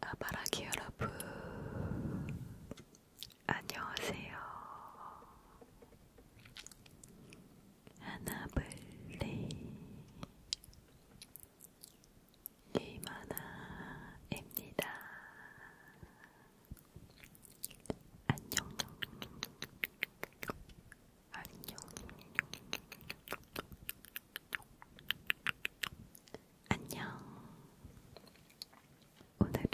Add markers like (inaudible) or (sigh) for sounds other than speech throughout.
아바라기 여러분, 안녕하세요. 하나블리 게임하나입니다. 안녕. 안녕. 안녕. 오늘은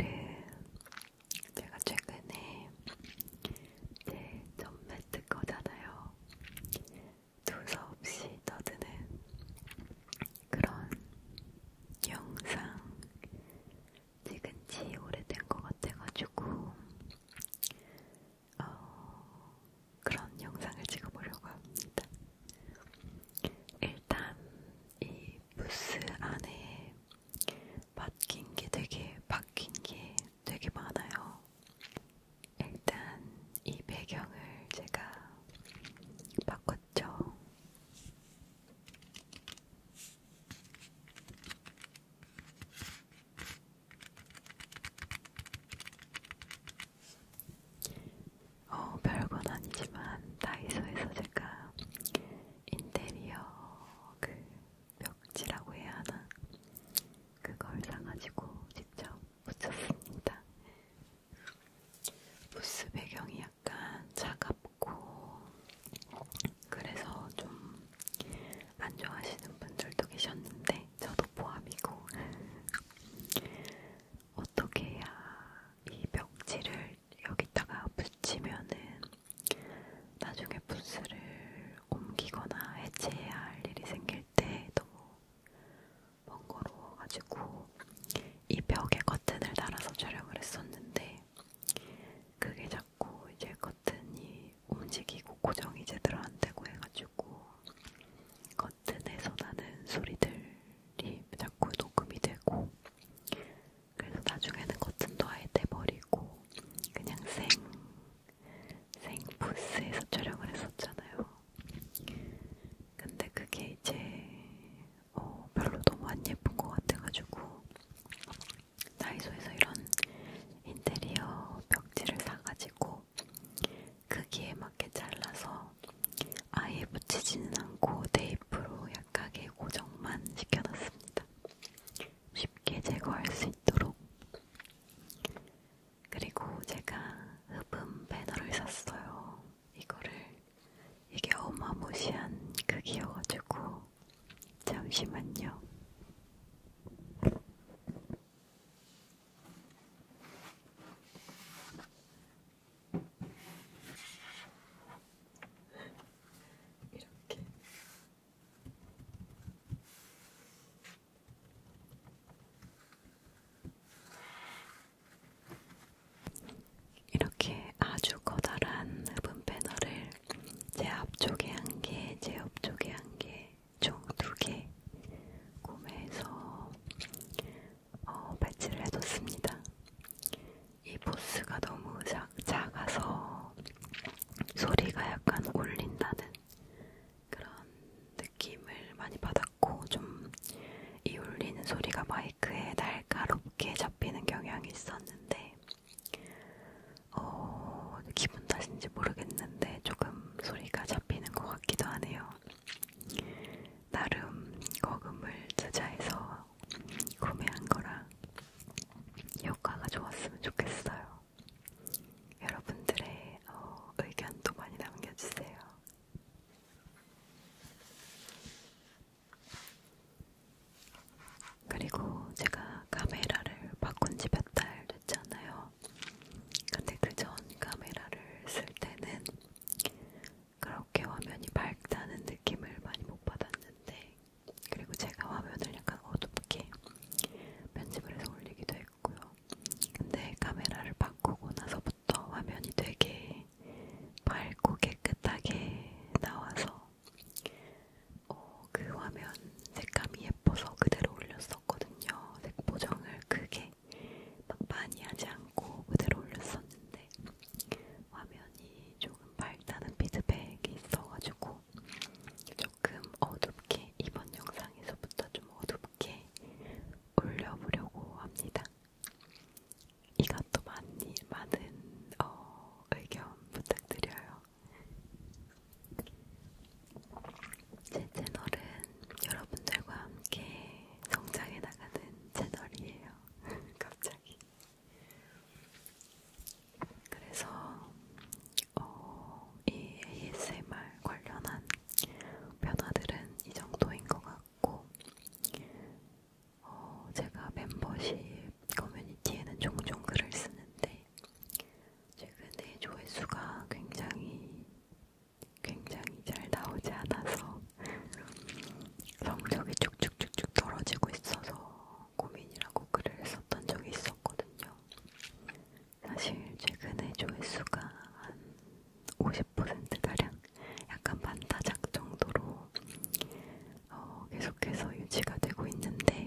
제가 최근에 제 전매 특허잖아요. 도서 없이 떠드는 그런 영상 찍은 지 오래된 것 같아가지고 어, 그런 영상을 찍어보려고 합니다. 일단 이 부스 안에 바뀐 게 되게 바뀐 게 되게 많아요. 일단 이 배경을 제가 바꿨죠. 어, 별건 아니지만 다이소에서 제가 인테리어 그 벽지라고 해야 하나? 그걸 사가지고 직접 붙였습니다. 부스 배경이 약간 차갑고 그래서 좀 안 좋아하시는 분들도 계셨는데 저도 포함이고 어떻게 해야 이 벽지를 여기다가 붙이면은 나중에 부스를 옮기거나 해체해야 할 일이 생길 때 너무 번거로워가지고 이 벽에 커튼을 달아서 촬영을 했었는데 그게 자꾸 이제 커튼이 움직이고 고정이 제대로 안 되고 해가지고 버튼에서 나는 소리들이 자꾸 녹음이 되고 그래서 나중에는 커튼도 아예 떼버리고 그냥 생, 생 부스에서 촬영을 했었잖아요. 근데 그게 이제 어, 별로 너무 안 예쁜 것 같아가지고 다이소에서 이런 인테리어 벽지를 사가지고 크기에 맞게 잘라서 아예 붙이지는 않고 테이프로 약하게 고정만 시켜놨습니다. 쉽게 제거할 수 있도록. 그리고 제가 흡음 배너를 샀어요. 이거를 이게 어마무시한 크기여가지고 잠시만요. 이렇게 이렇게 아주 커다란 흡음 패널을 제 앞쪽에 한 개, 제 옆쪽에 한 개, 총두개 구매해서 어, 배치를 해뒀습니다. 이 보스가 너무 작, 작아서 소리가 약간 울린다는 그런 느낌을 많이 받았고 좀 이 울리는 소리가 마이크에 날카롭게 잡히는 경향이 있었는데 어, 기분 탓인지 모르겠는데 조금 좀 소리가 잡히는 것 같기도 하네요. 나름 거금을 투자해서 구매한 거라 효과가 좋았으면 좋겠어요. 여러분들의 어, 의견도 많이 남겨주세요. 그리고 제가 카메라를 바꾼 지 몇 달 됐잖아요. 근데 그 전 카메라를 쓸 때는 그렇게 화면이 밝다는 느낌을 많이 못 받았는데 그리고 제가 화면을 약간 어둡게 편집을 해서 올리기도 했고요. 근데 카메라를 바꾸고 나서부터 화면이 되게 밝고 깨끗하게 나와서 어, 그 화면 색감이 예뻐서 그대로 올렸었거든요. 색보정을 크게 막 많이 하지 않고 그대로 올렸었는데 화면이 조금 밝다는 피드백이 있어가지고 조금 어둡게 이번 영상에서부터 좀 어둡게 올려보려고 합니다. 이것도 많이 많은 어, 의견 부탁드려요. 제 채널은 여러분들과 함께 성장해 나가는 채널이에요. (laughs) 갑자기. 그래서 어, 이 ASMR 관련한 변화들은 이 정도인 것 같고, 어, 제가 멤버십 커뮤니티에는 종종 글을 쓰는데 있는데 최근에 조회수가 굉장히 굉장히 잘 나오지 않아서 성적이 쭉쭉쭉쭉 떨어지고 있어서 고민이라고 글을 썼던 적이 있었거든요. 사실 최근에 조회수가 한 50%가량 약간 반타작 정도로 어, 계속해서 유지가 되고 있는데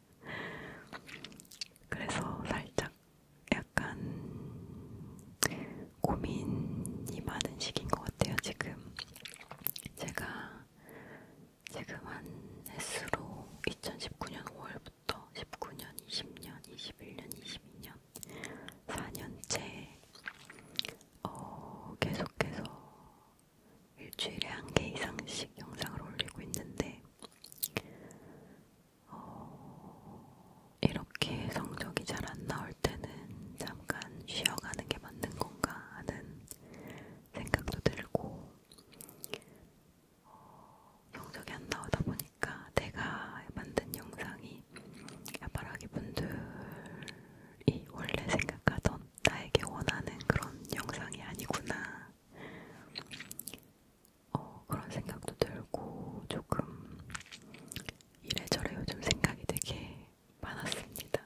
그래서 살짝 약간 고민이 많은 시기인 것 같아요. 지금 제가 지금 한 횟수로 2019년 5월부터 19년, 20년, 21년, 22년 4년째 어, 계속해서 일주일에 한 개 이상씩 영상을 올리고 있는데 어, 이렇게 성적이 잘 안 나올 때는 잠깐 쉬어가는 게 맞는 건가 하는 생각도 들고 어, 성적이 안 나오다 보니까 내가 만든 영상이 야바라기 분들이 원래 생각하던 나에게 원하는 그런 영상이 아니구나 어, 그런 생각도 들고 조금 이래저래 요즘 생각이 되게 많았습니다.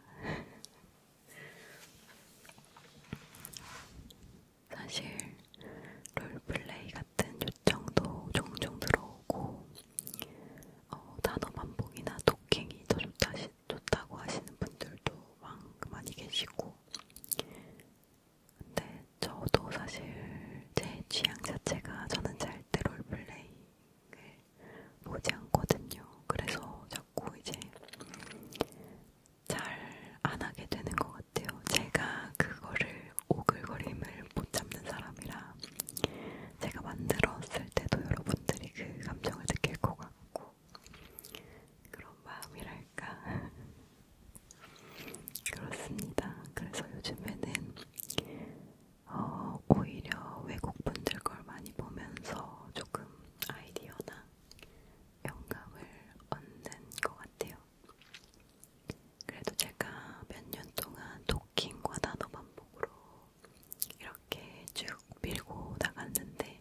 (laughs) 사실 롤플레이 같은 요청도 종종 들어오고 어, 단어 반복이나 도킹이 더 좋다, 좋다고 하시는 분들도 많이 계시고 근데 저도 사실 제 취향 자체가 저는 잘때 롤플레이를 보지 않거든요. 그래서 자꾸 이제 잘 안 하게 되는 것 같아요. 제가 그거를 오글거림을 못 참는 사람이라 제가 만들었을 때도 여러분들이 그 감정을 느낄 것 같고 그런 마음이랄까 (laughs) 그렇습니다. 그래서 요즘에는 어, 오히려 외국분들 걸 많이 보면서 조금 아이디어나 영감을 얻는 것 같아요. 그래도 제가 몇 년 동안 도킹과 단어 반복으로 이렇게 쭉 밀고 나갔는데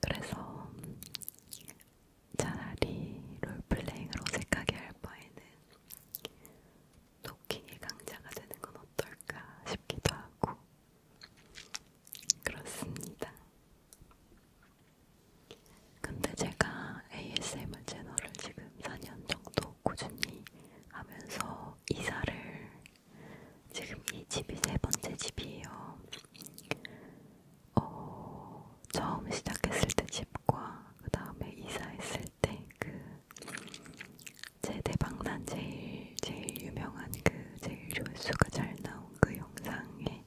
그래서 차라리 롤플레잉을 어색하게 할 바에는 토킹이 강자가 되는 건 어떨까 싶기도 하고 그렇습니다. 근데 제가 ASMR 채널을 지금 4년 정도 꾸준히 하면서 이사를 지금 이 집이 세 번째 집이에요. 어, 처음 시작했을 때 집과 그 다음에 이사했을 때 그 제 대박난 제일 제일 유명한 그 제일 조회수가 잘 나온 그 영상에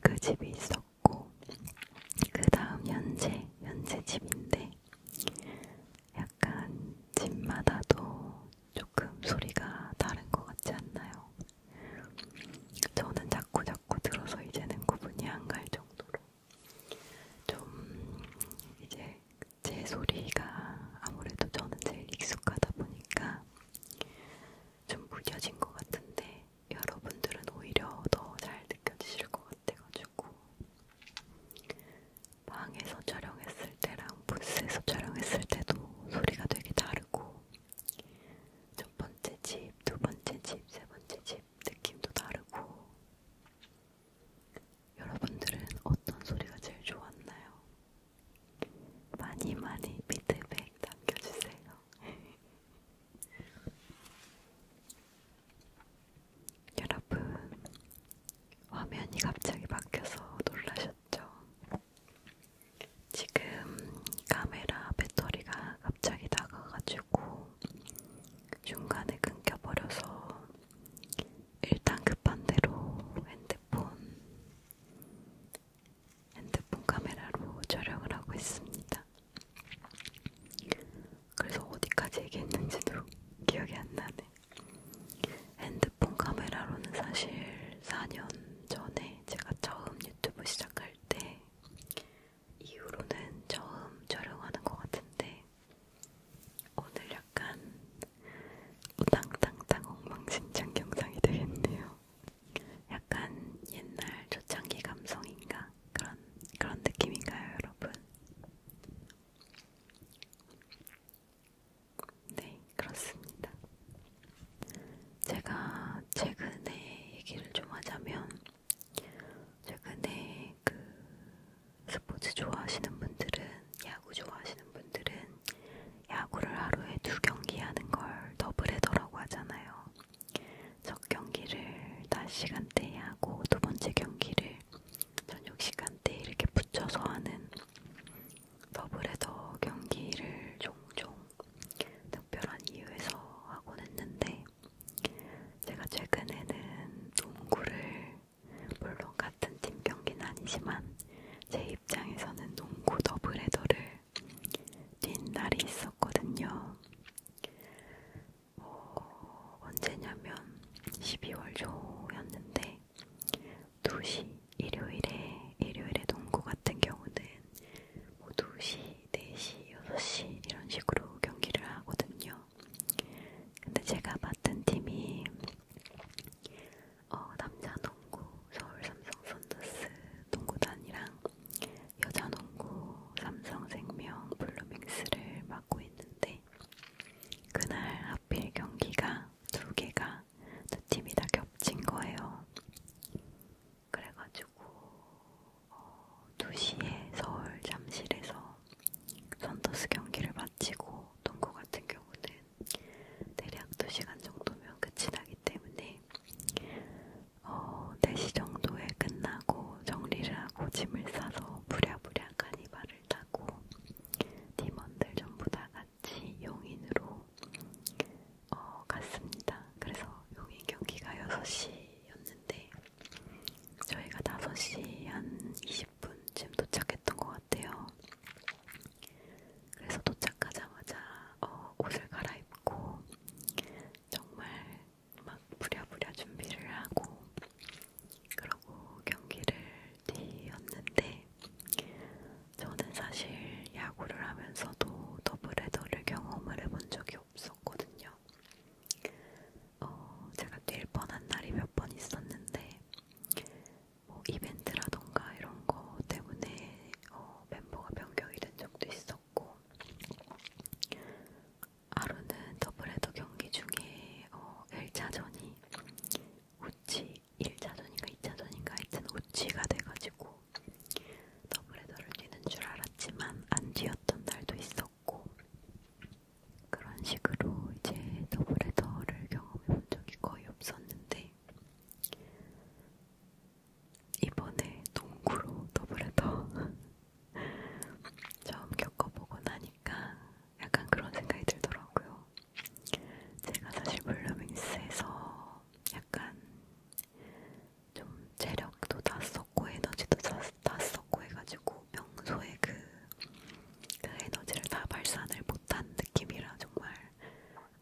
그 집이 있었고 그 다음 현재 현재 집인데 약간 집마다도 조금 소리가 다른 것 같지 않나요? 저는 자꾸 자꾸 들어서 이제는 구분이 안 갈 정도로 좀 이제 제 소리가 아무래도 저는 제일 익숙하다 보니까 좀 무뎌진 것 같은데 여러분들은 오히려 더 잘 느껴지실 것 같아가지고 방에서 촬영했을 때랑 부스에서 촬영했을 때도 소리가 되게 다르고 첫 번째 집, 두 번째 집, 세 번째 집 느낌도 다르고 여러분들은 어떤 소리가 제일 좋았나요? 많이 많이 피드백 남겨주세요. (laughs) 여러분, 화면이 갑자기 바뀌어서 놀라셨죠? 않았죠. 지금 카메라 배터리가 갑자기 나가가지고 중간에 끊겨버려서 일단 급한 대로 핸드폰 핸드폰 카메라로 촬영을 하고 있습니다. 그래서 어디까지 얘기했는지도 기억이 안 나네. 핸드폰 카메라로는 사실 4년 전에 제가 처음 유튜브 시작할 때 이후로는 처음 촬영하는 것 같은데 오늘 약간 우당탕탕 엉망진창 경상이 되겠네요. 약간 옛날 초창기 감성인가 그런 그런 느낌인가요, 여러분? 네, 그렇습니다. 제가 최근에 얘기를 좀 하자면, 최근에 그 스포츠 좋아하시는 분들은, 야구 좋아하시는 분들은, 야구를 하루에 두 경기 하는 걸 더블헤더라고 하잖아요. 첫 경기를 낮 시간대에 하고, 두 번째 경기를 저녁 시간대에 이렇게 붙여서 하는 더블헤더 경기를 종종 특별한 이유에서 하곤 했는데 제가 최근에는 농구를 물론 같은 팀 경기는 아니지만 제 입장에서는 농구 더블헤더를 뛴 날이 있었거든요. 어, 언제냐면 12월 초였는데 2시 일요일에 일요일에 농구 같은 경우는 뭐 2시, 4시, 6시 이런 식으로 경기를 하거든요. 근데 제가 맡은 팀이 어, 남자 농구 서울 삼성 선더스 농구단이랑 여자 농구 삼성생명 블루밍스를 맡고 있는데 그날 하필 경기가 두 개가 두 팀이 다 겹친 거예요. 그래가지고 어, 2시에 서울 잠실에서 선더스 경기를 마치고 동구 같은 경우는 대략 2시간 정도면 끝이 나기 때문에 어, 4시 정도에 끝나고 정리를 하고 짐을 싸서 부랴부랴 카니발을 타 하고 팀원들 전부 다 같이 용인으로 어, 갔습니다. 그래서 용인 경기가 6시였는데 저희가 5시 한 20분쯤 도착했던 것 같아요. 그래서 도착하자마자 어, 옷을 갈아입고 정말 막 부랴부랴 준비를 하고 그러고 경기를 뛰었는데 저는 사실 야구를 하면서도 더블헤더를 경험을 해본 적이 없었거든요. 어, 제가 뛸 뻔한 날이 몇 번 있었는데 뭐 이벤트라던가 이런 거 때문에 어, 멤버가 변경이 된 적도 있었고 하루는 더블헤더 경기 중에 어, 1차전이 우치 1차전인가 2차전인가 하여튼 우치가 돼가지고 더블헤더를 뛰는 줄 알았지만 안 뛰었던 날도 있었고 그런 식으로 이제 더블헤더를 경험해 본 적이 거의 없었는데 이번에 농구로 더블헤더 (laughs) 처음 겪어보고 나니까 약간 그런 생각이 들더라고요. 제가 사실 블루밍스에서 약간 좀 체력도 다 썼고 에너지도 다, 다 썼고 해가지고 평소에 그, 그 에너지를 다 발산을 못한 느낌이라 정말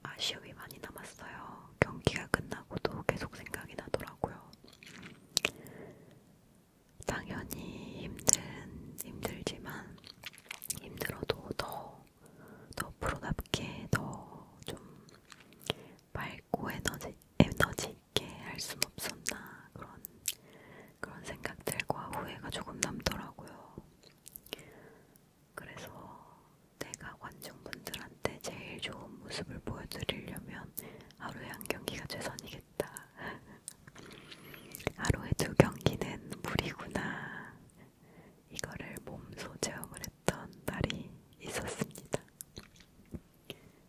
아쉬움이 많이 남았어요. 경기가 끝나고도 계속 생각이 나더라고요. 당연히 힘든 힘들지만 힘들어도 더, 더 프로답게 더 좀 밝고 에너지 에너지 있게 할순 없었나 그런 그런 생각들과 후회가 조금 남더라고요. 그래서 내가 관중분들한테 제일 좋은 모습을 보여드리려면 하루에 한 경기가 최선이겠. 있다. 하루에 두 경기는 무리구나. 이거를 몸소 체험을 했던 날이 있었습니다.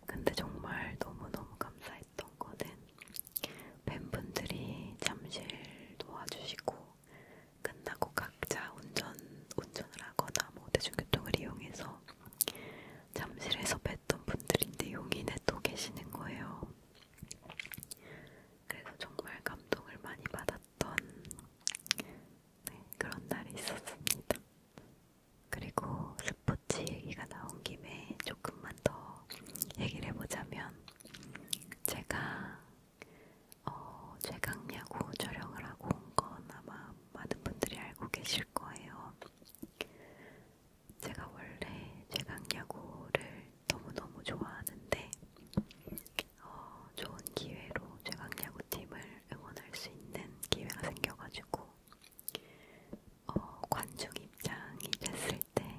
근데 정말 너무너무 감사했던 거는 팬분들이 잠실 도와주시고 끝나고 각자 운전, 운전을 하거나 뭐 대중교통을 이용해서 잠실에서 뵀던 분들인데 용인에 또 계시는 거예요. 그래서 정말 감동을 많이 받았던 네, 그런 날이 있었습니다. 그리고 스포츠 얘기가 나온 김에 조금만 더 얘기를 해보자면 제가 어, 최강야구 촬영을 하고 온 건 아마 많은 분들이 알고 계실 거예요. 제가 원래 제강야구를 너무너무 좋아하는데 어, 좋은 기회로 제강야구팀을 응원할 수 있는 기회가 생겨가지고 어, 관중 입장이 됐을 때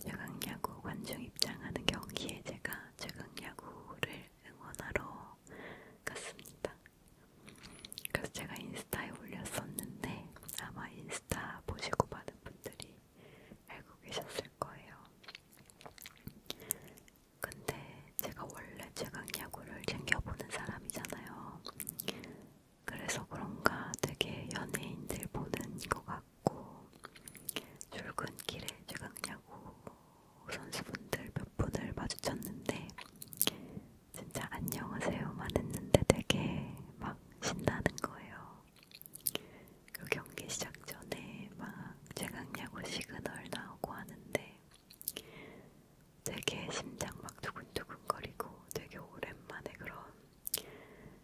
제강야구 관중 입장하는 경기에 제가 제강야구를 응원하러 갔습니다. 그래서 제가 인스타에 올렸었는데 아마 인스타 보시고 많은 분들이 알고 계셨을 거예요. 근데 제가 원래 최강 야구를 챙겨보는 사람이잖아요. 그래서 그런가 되게 연예인들 보는 것 같고 출근길에 최강 야구 선수분들 몇 분을 마주쳤는데 진짜 안녕하세요만 했는데 되게 막 신나는 거예요. 그 경기 시작 전에 막 최강야구 뭐 시그널 나오고 하는데 되게 심장 막 두근두근거리고 되게 오랜만에 그런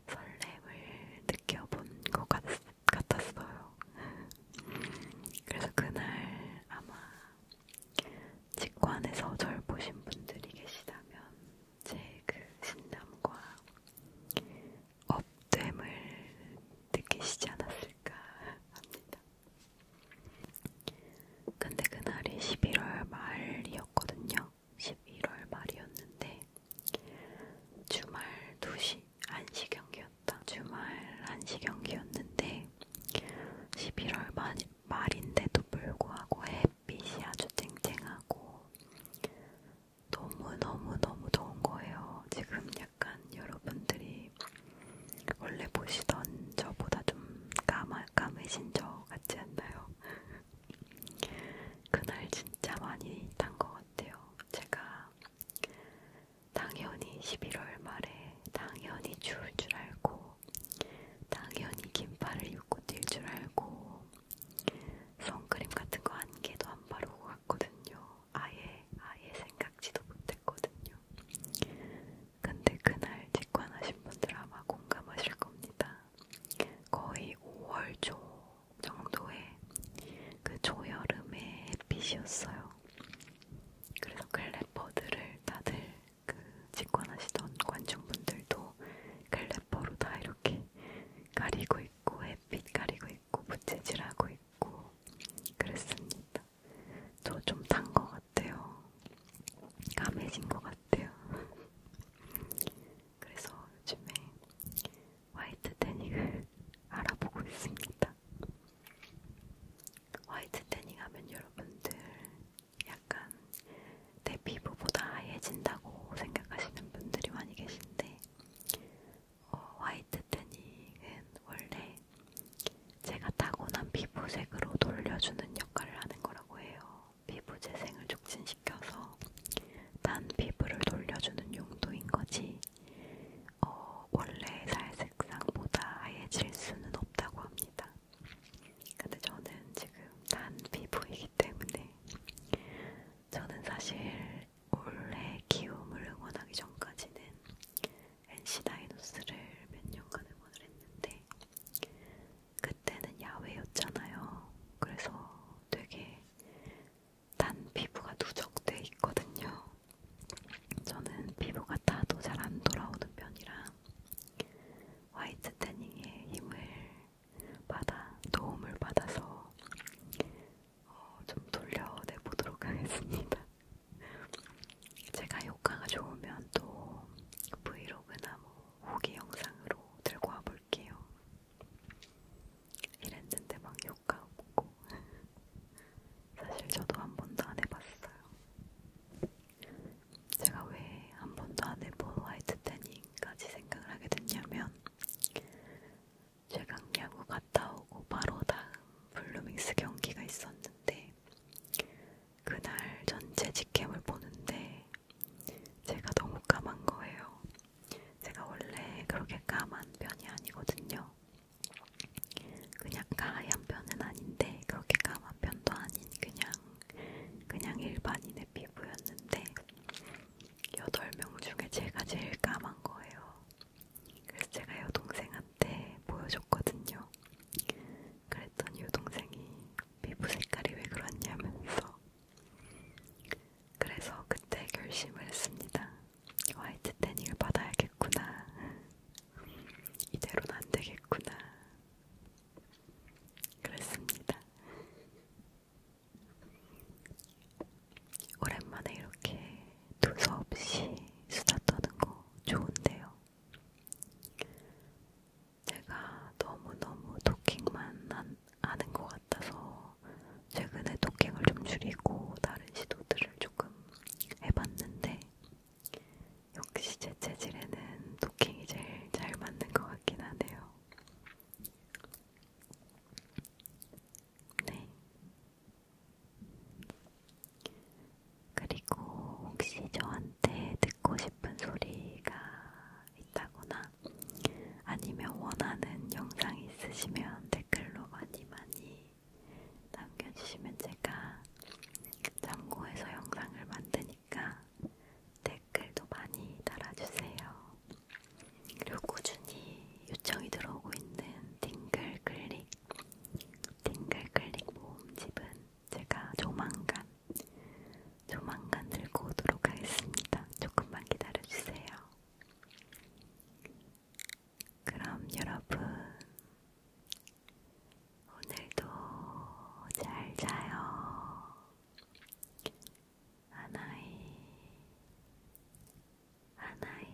설렘을 느껴본 것 같, 같았어요. (laughs) 그래서 그날 아마 직관에서 절 보신 분들이 계시다면 제 그 신남과 업됨을 느끼시지 않았을까 합니다. 근데 그날이 11월 말이었거든요. 11월 말이었는데 주말 2시 한시 경기였다. 주말 한시 경기였는데 11월 말집 말인데도 불구하고 햇빛이 아주 쨍쨍하고 너무너무너무 더운 거예요. 지금 약간 여러분들이 원래 보시던 저보다 좀 까마, 까매신 저 같지 않나요? 그날 진짜 많이 탄 것 같아요. 제가 당연히 11월 말에 당연히 추울 줄 알고 당연히 긴팔을 입고 뛸 줄 알고 선크림 같은 거 한 개도 안 바르고 갔거든요. 아예 아예 생각지도 못했거든요. 근데 그날 직관하신 분들 아마 공감하실 겁니다. 거의 5월 초 정도에 그 조여름의 햇빛이었어요. 그래서 클래퍼들을 다들 그 직관하시던 관중분들도 글래퍼로 다 이렇게 가리고 있고 햇빛 가리고 있고 부채질하고 있고 그랬습니다. 저좀단것 같아요. 까매진 것 같아요. (laughs) 그래서 요즘에 화이트 데닝을 (laughs) 알아보고 있습니다. 화이트 태닝 하면 여러분들 약간 내 피부보다 하얘진다고 생각하시는 분들이 많이 계신데 어, 화이트 태닝은 원래 제가 타고난 피부색으로 돌려주는 역할을 하는 거라고 해요. 피부 재생을 촉진시켜서 난 피부를 돌려주는 용도인 거지 어, 원래 살색상보다 하얘질 수는 없다고 합니다. 근데 저는 지금 단 피부이기 때문에 저는 사실 올해 기움을 응원하기 전까지는 NC 다이노스를 몇 년간 응원을 했는데 그때는 야외였잖아요. 그래서 되게 단 피부가 누적돼 있거든요. 저는 피부가 타도 잘안 돌아오는 편이라 화이트 태닝에 힘을 받아 도움을 받아서 어, 좀 돌려내 보도록 하겠습니다. 제가 효과가 좋으면 또 브이로그나 뭐 후기 영상으로 들고 와볼게요. 이랬는데 막 효과 없고 사실 저도 한 번도 안 해봤어요. 제가 왜 한 번도 안 해본 화이트 태닝까지 생각을 하게 됐냐면 최강 야구 갔다 오고 바로 다음 블루밍스 경기가 있었는데 그날 전체 직캠을 보는데 제가 너무 까만 거예요. 제가 원래 그렇게 까만 편이 아니거든요. 그냥 가얀 편은 아닌데 그렇게 까만 편도 아닌 그냥 그냥 일반인의 피부였는데 8명 중에 제가 제일 까만 거예요. 그래서 제가 여동생한테 보여줬거든요. 그랬더니 여동생이 피부 색깔이 왜 그러냐면서 그래서 그때 결심을 했습니다. 화이트 태닝을 받아야겠구나. 이대로는 안 되겠구나. 그랬습니다. 오랜만에 이렇게 두서없이 수다 떠는 거 좋은데요. 제가 너무너무 도킹만 안, 아는 것 같아서 최근에 도킹을 좀 줄이고 다른 시도들을 조금 해봤는데 역시 제 체질에는 도킹이 제일 잘 맞는 것 같긴 하네요. 네. 그리고 혹시 저한테 듣고 싶은 소리가 있다거나 아니면 원하는 영상이 있으시면 댓글로 많이 많이 남겨주시면 제가 참고해서 영상을 만드니까 댓글도 많이 달아주세요. 그리고 꾸준히 요청이 들어오고 있는 딩글 클릭, 딩글 클릭 모음집은 제가 조만간, 조만간 들고 오도록 하겠습니다. 조금만 기다려주세요. 그럼 여러분, 오늘도 잘 자요. 하나이, 하나이,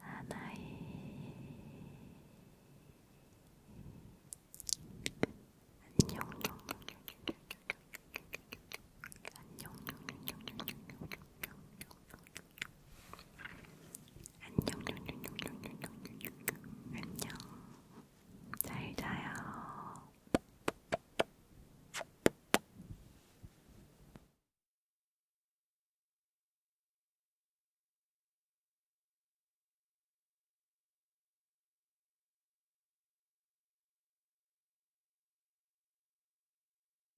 하나이. 안녕. 안녕. 안녕. 안녕. 안녕. 안녕, 안녕, 잘 자요.